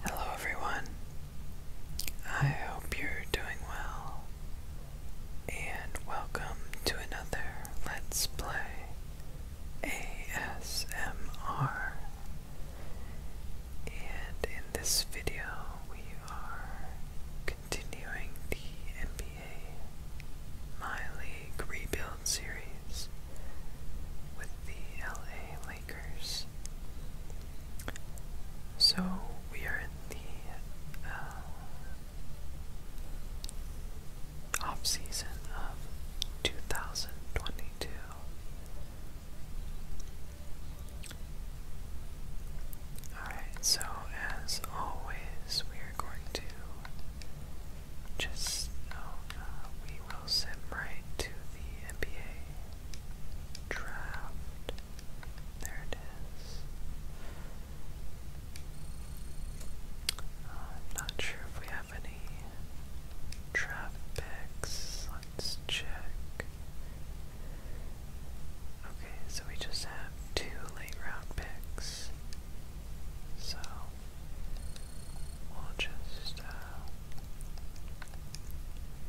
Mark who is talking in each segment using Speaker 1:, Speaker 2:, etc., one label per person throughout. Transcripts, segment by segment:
Speaker 1: Hello everyone. I hope you're doing well. And welcome to another Let's Play ASMR. And in this video, we are continuing the NBA My League Rebuild series with the LA so we are in the uh, off season of 2022. Alright, so as always, we are going to just, oh, uh, we will send right to the NBA draft. There it is. I'm uh, not sure if we have any draft picks. Let's check. Okay, so we just have two late round picks. So we'll just uh,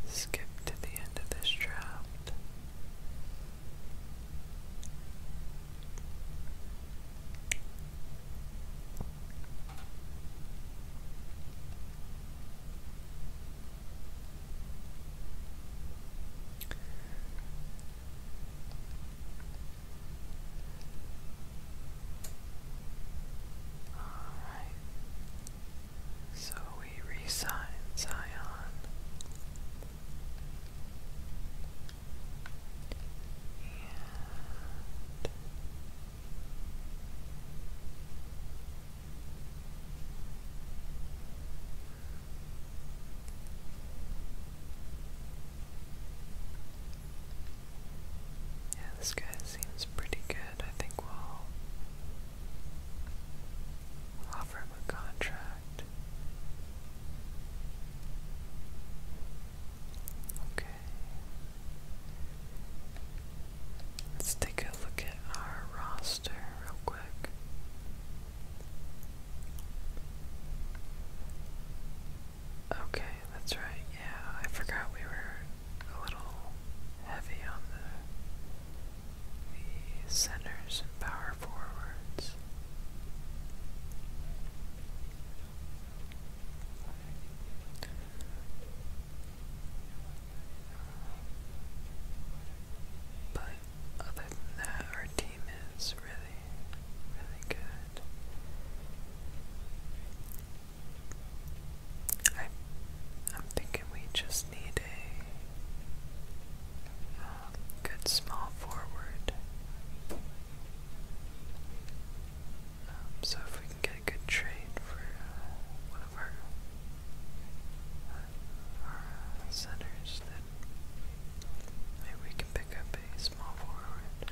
Speaker 1: Skip to the end of this draft. All right. So we resign, Zion. yeah, this seems pretty good. I think we'll offer him a contract. Okay. Let's take a look at our roster real quick. Okay, that's right. Yeah, I forgot we were a little heavy on the, centers and power forwards. But other than that, our team is really, really good. I, I'm thinking we just need a uh, good small forward. Um, so if we can get a good trade for uh, one of our, uh, our uh, centers, then maybe we can pick up a small forward.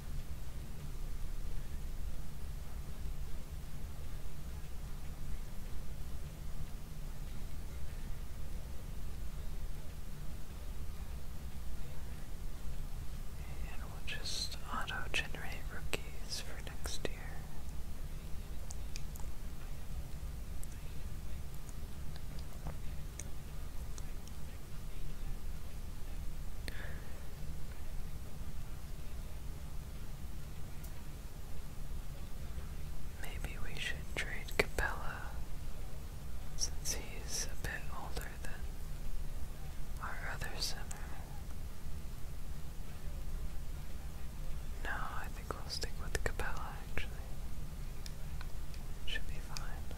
Speaker 1: And we'll just auto generate rookies for next year. Maybe we should trade Capella since he's a bit older than our other center. No, I think we'll stick with Capella actually. Should be fine.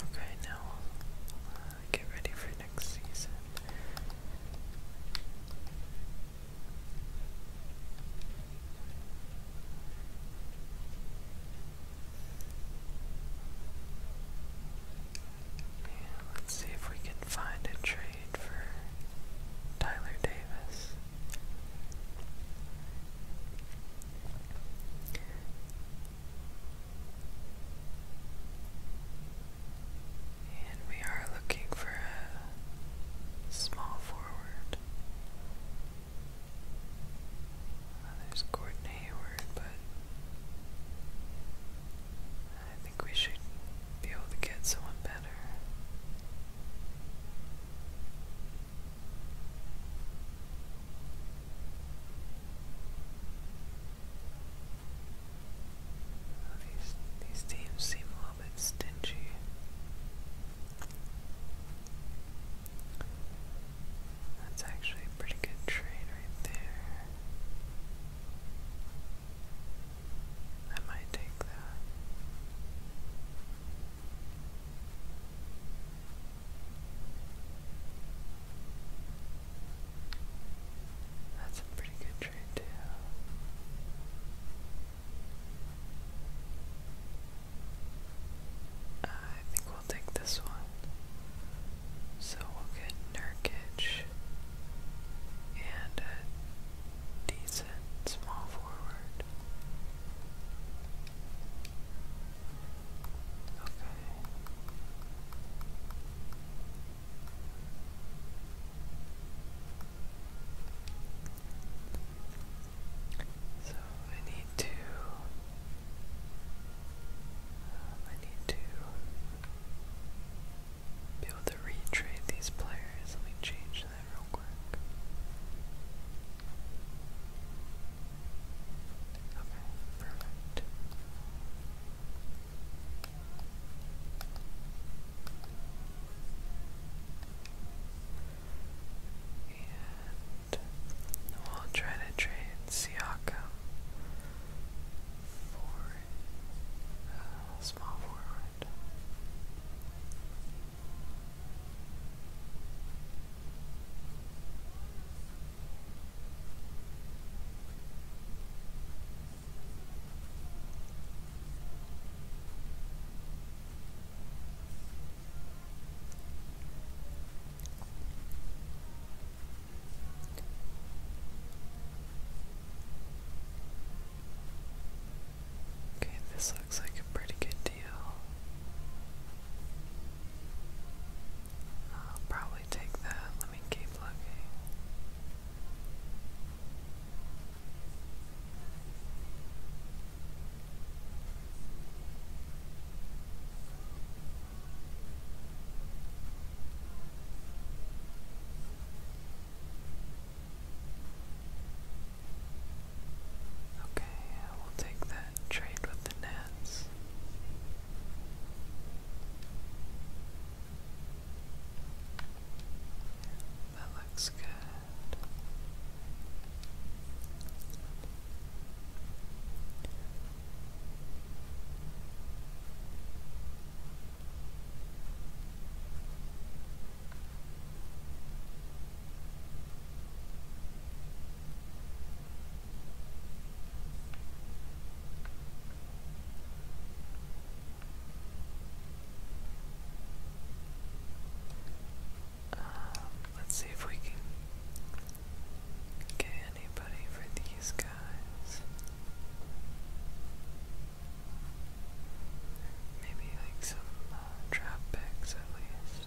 Speaker 1: Okay, now uh, get ready for next season. let's see if we can find a trade for Tyler Davis. And we are looking for a small forward. there's Gordon Hayward, but I think we should be able to get someone better these these teams seem a little bit stingy. That's actually a pretty good trade right there. I might take that. That's a pretty good trade uh, I think we'll take this one. So we'll get Nurkic and a decent small forward. So I need to. Uh, I need to be able to retrade these players. Let me change that real quick. Okay, perfect. And we'll try to trade Siakam for uh, small forward. Okay, this looks like a pretty good deal. I'll probably take that. Let me keep looking. Okay, I will take that trade with the Nets. That looks good. Um, let's see if we can get anybody for these guys. Maybe like some uh, trap picks at least.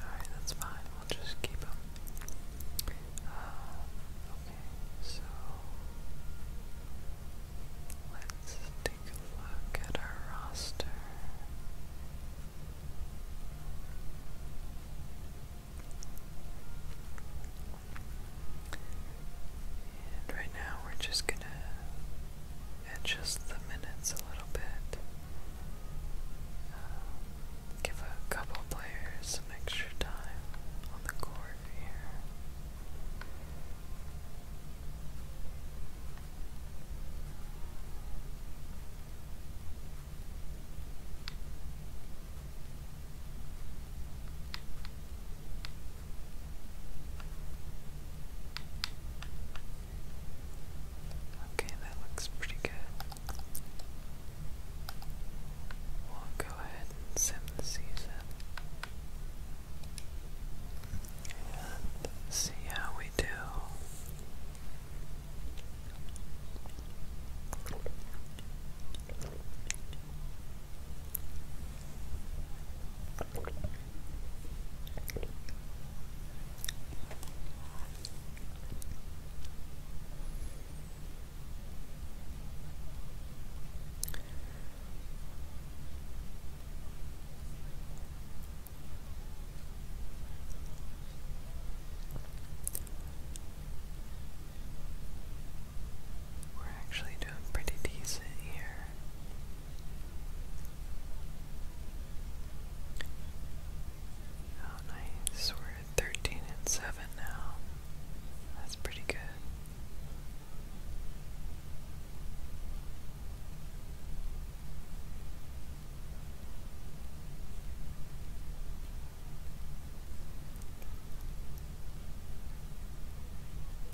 Speaker 1: Alright, that's fine. We'll just keep them. Oh, okay, so let's take a look at our roster. And right now we're just gonna adjust the minutes a little bit um, give a couple players some extra time on the court here. Okay, that looks pretty good. We'll go ahead and sim the season and see how we do. We're actually doing pretty decent here. Oh, nice. We're at 13 and 7 now. That's pretty good.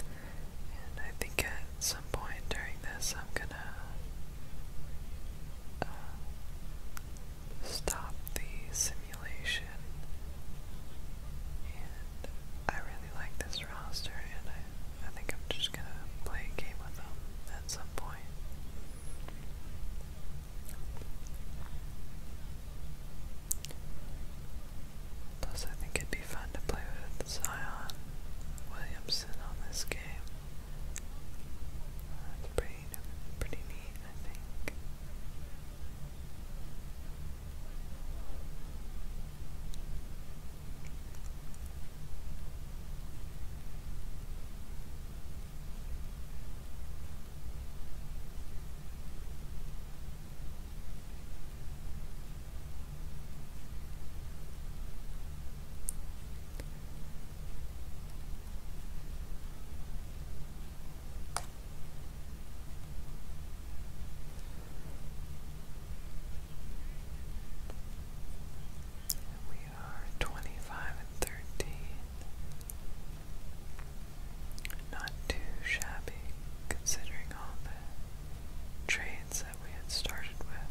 Speaker 1: And I think at some point during this, I'm gonna stop the simulation. And I really like this roster, and I, I think I'm just gonna play a game with them at some point. Plus, I think it'd be fun to play with Zion Williamson on this game. That's pretty, pretty neat, I think. We are twenty five and thirteen. Not too shabby considering all the trades that we had started with.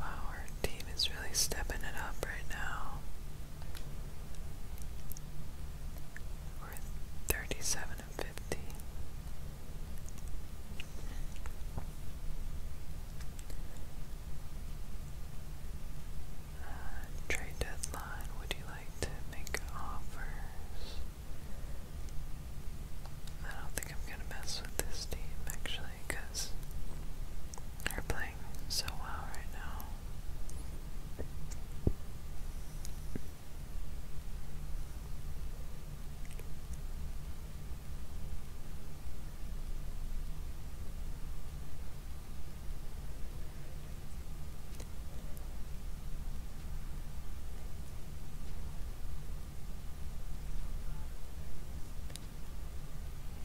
Speaker 1: Wow, our team is really stepping it up right now. Or thirty-seven and fifty. Uh, trade deadline. Would you like to make offers? I don't think I'm gonna mess with this team actually, cause are playing so well right now.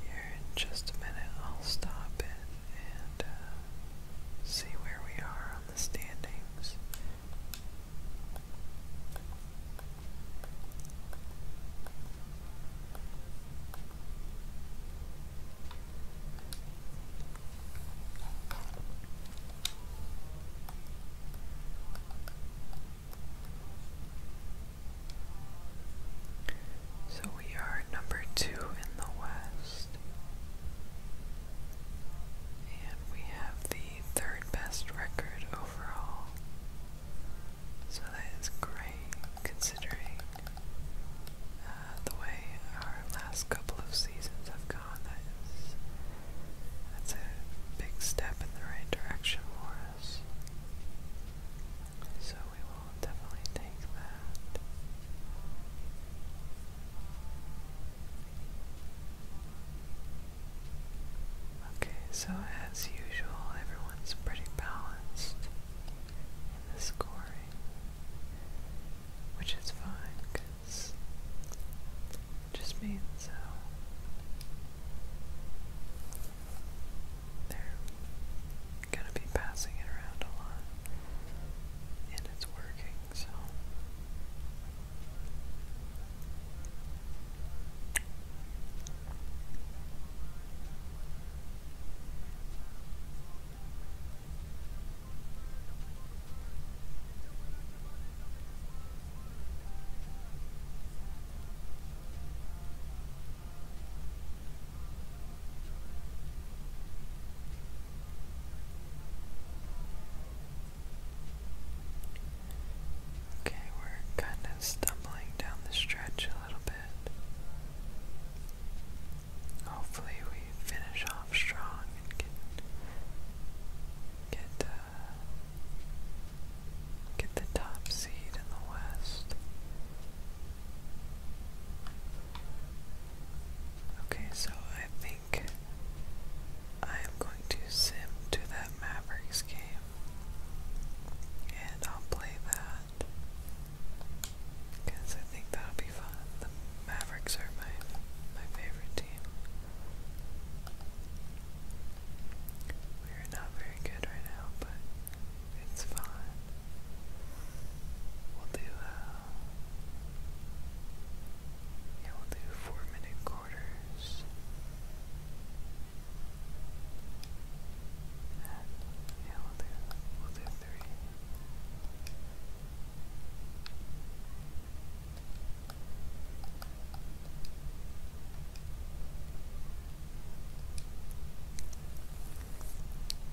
Speaker 1: Here in just a minute, I'll stop it and uh, see where we are on the standings. So we are number two in the West. And we have the third best record overall. So that is great considering uh, the way our last couple of seasons have gone. that's a big step in the right direction for us. So we will definitely take that. Okay, so as usual, everyone's pretty balanced in the scoring, which is fine because it just means so. Uh, they're gonna be passing it around a lot, and it's working, so. Okay, we're kind of stumbling down the stretch a little bit. Hopefully, we finish off strong and get get uh, get the top seed in the West. Okay, so I think I am going to sim to that Mavericks game and I'll play that because I think that'll be fun. The Mavericks are my my favorite team. We're not very good right now, but it's fine. We'll do, uh, yeah, we'll do four minute quarters. yeah, we'll do, we'll do three.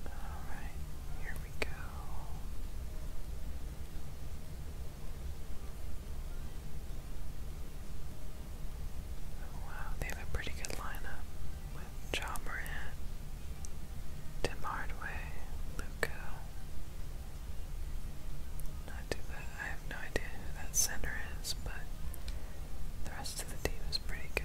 Speaker 1: Alright, here we go. Oh, wow, they have a pretty good lineup with John Tim Hardaway, Luca. Not too bad. I have no idea who that center is, but the rest of the team is pretty good.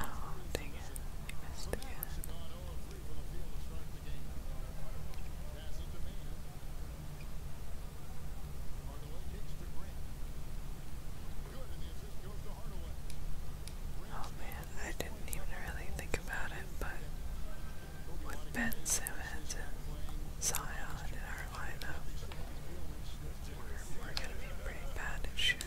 Speaker 1: Oh, dang it.
Speaker 2: I missed again.
Speaker 1: Oh man, I didn't even really think about it, but with Ben Simmons Zion in our lineup, we're going to be pretty bad at shooting.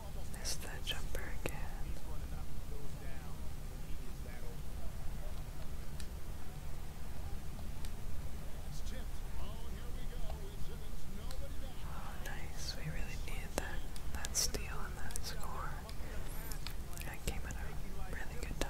Speaker 2: Missed that jumper again.
Speaker 1: Oh, nice. We really needed that, that steal and that score. That came at a really good time.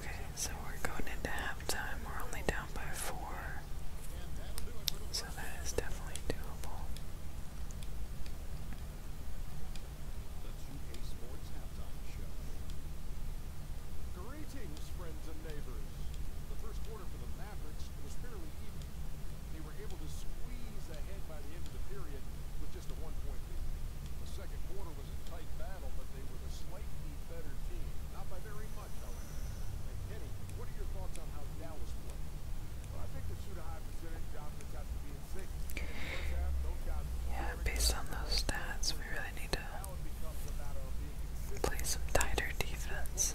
Speaker 1: Okay, so we're going into halftime. We're only down by four. So that is definitely doable.
Speaker 2: The 2K Sports Halftime Show. Greetings, friends and neighbors. The first quarter for the Mavericks was fairly even. They were able to squeeze ahead by the end of the period with just a one-point lead. The second quarter was a tight battle, but they were the slightly better team. Not by very much, however. And Kenny, what are your thoughts on how Dallas played? Well, I think the shoot a
Speaker 3: high percentage offense has to be in six. First half, no yeah, based on those
Speaker 1: stats, we really need to play some tighter defense.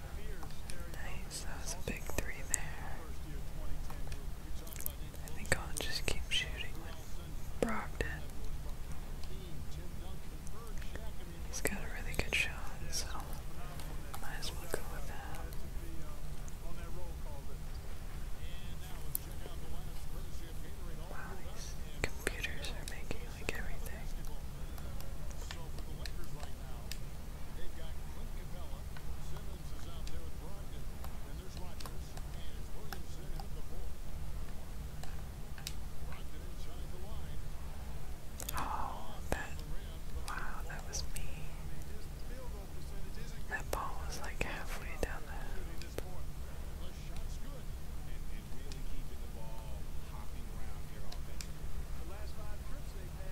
Speaker 1: Nice, that was a big three there. I think I'll just keep shooting with Brogdon. He's got a really good shot, so might as well go with that.
Speaker 2: Wow, these computers are making like everything so for the Lakers right now, they've got Clint Capella. Simmons is out there with Brogdon. And there's Rodgers. And it's Williamson at the four. Brogdon inside the line. Oh, that. Wow, that was me.
Speaker 3: That ball was like halfway down the the shot's good. And, and really keeping the ball hopping around here offensively. The last five trips they've had.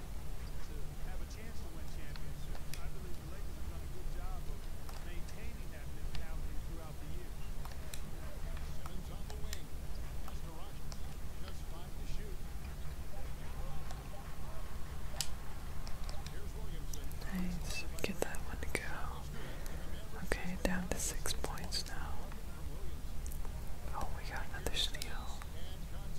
Speaker 3: I believe the Lakers have done a good job
Speaker 2: of maintaining that mentality throughout the year.
Speaker 1: Nice. Get that one to go. Okay, down to six points now. Oh, we got another steal.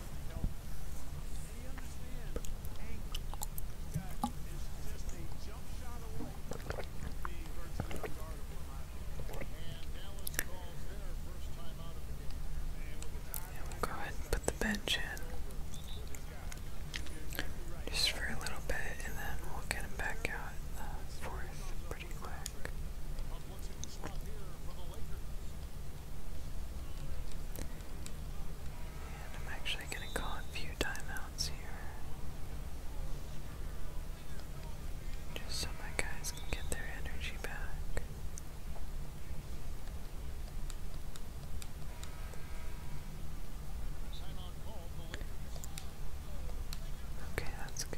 Speaker 1: we'll go ahead and put the bench in just for a little bit, and then we'll get him back out in pretty quick. I'm actually going to call a few timeouts here. Just so my guys can get their energy back. Okay, that's good.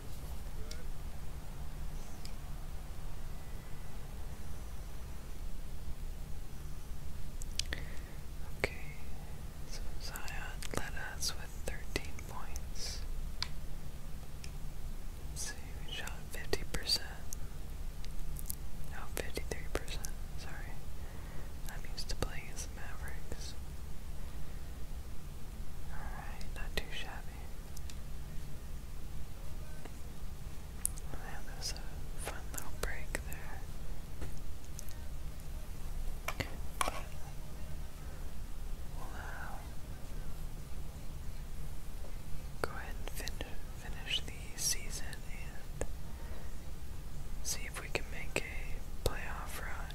Speaker 1: Okay, so Zion led us with 13 points. Let's see, we shot 50%. No, 53%, sorry. I'm used to playing as the Mavericks. Alright, not too shabby. that was a fun little break there. go ahead and fin finish the season and see if we can make a playoff run.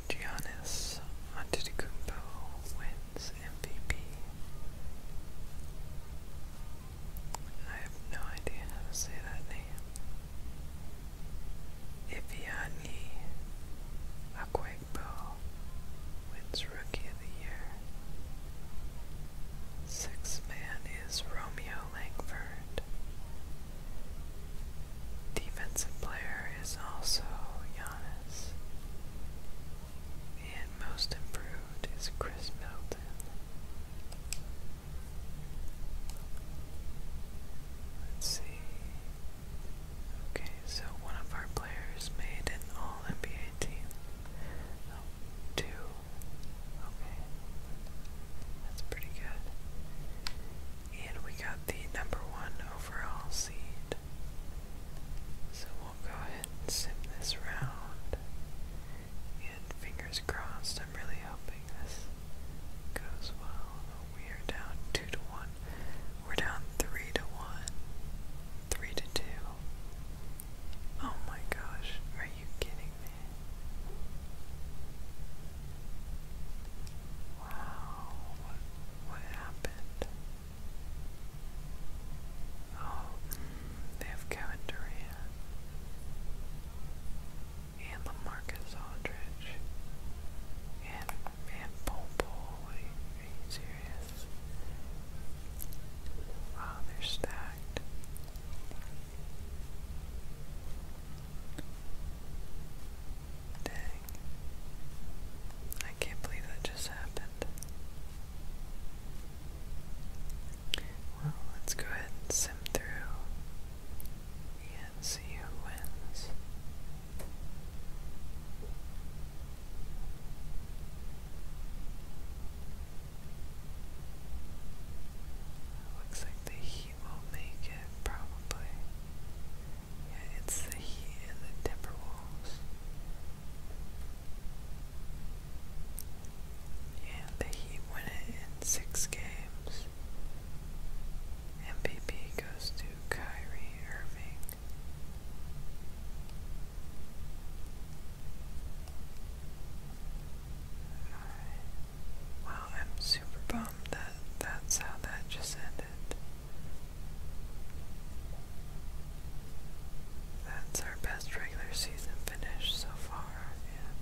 Speaker 1: Giannis Antetokounmpo wins MVP. I have no idea how to say that name. Iviani Akwaigbo wins Rookie of the Year. Sixth man is Romeo Langford. The defensive player is also Giannis. And most improved is Chris Middleton. Let's see. Okay, so one of our players made an all NBA team. Oh, two. Okay. That's pretty good. And we got the number one overall seed. So we'll go ahead and sim this round. And fingers crossed, I'm really hoping this goes well. We are down 2 to 1. We're down 3 to 1. 3 to 2. Oh my gosh, are you kidding me? Wow. What, what happened? Oh, they have Kevin Durant and LaMarcus Aldridge and and Popol. Are serious? Wow, they're stacked. Dang. I can't believe that just happened. Well, let's go ahead and sim through and see who wins. Looks like the heat will make it, probably. Yeah, it's the Heat and the Timberwolves. And the Heat win it in six games. MVP goes to Kyrie Irving. Wow, I'm super bummed that that's how that just ended. That's our best regular season finish so far. Yeah.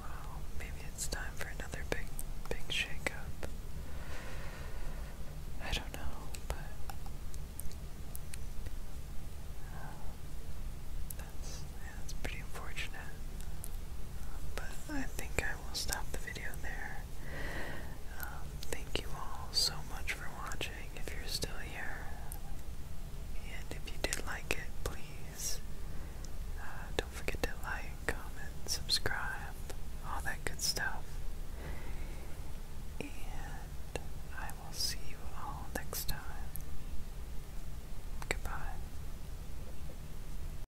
Speaker 1: Well, maybe it's time for another big, big shakeup. I don't know, but uh, that's yeah, that's pretty unfortunate. But I think we will stop the video there. Um, thank you all so much for watching if you're still here. And if you did like it, please uh, don't forget to like, comment, subscribe, all that good stuff. And I will see you all next time. Goodbye.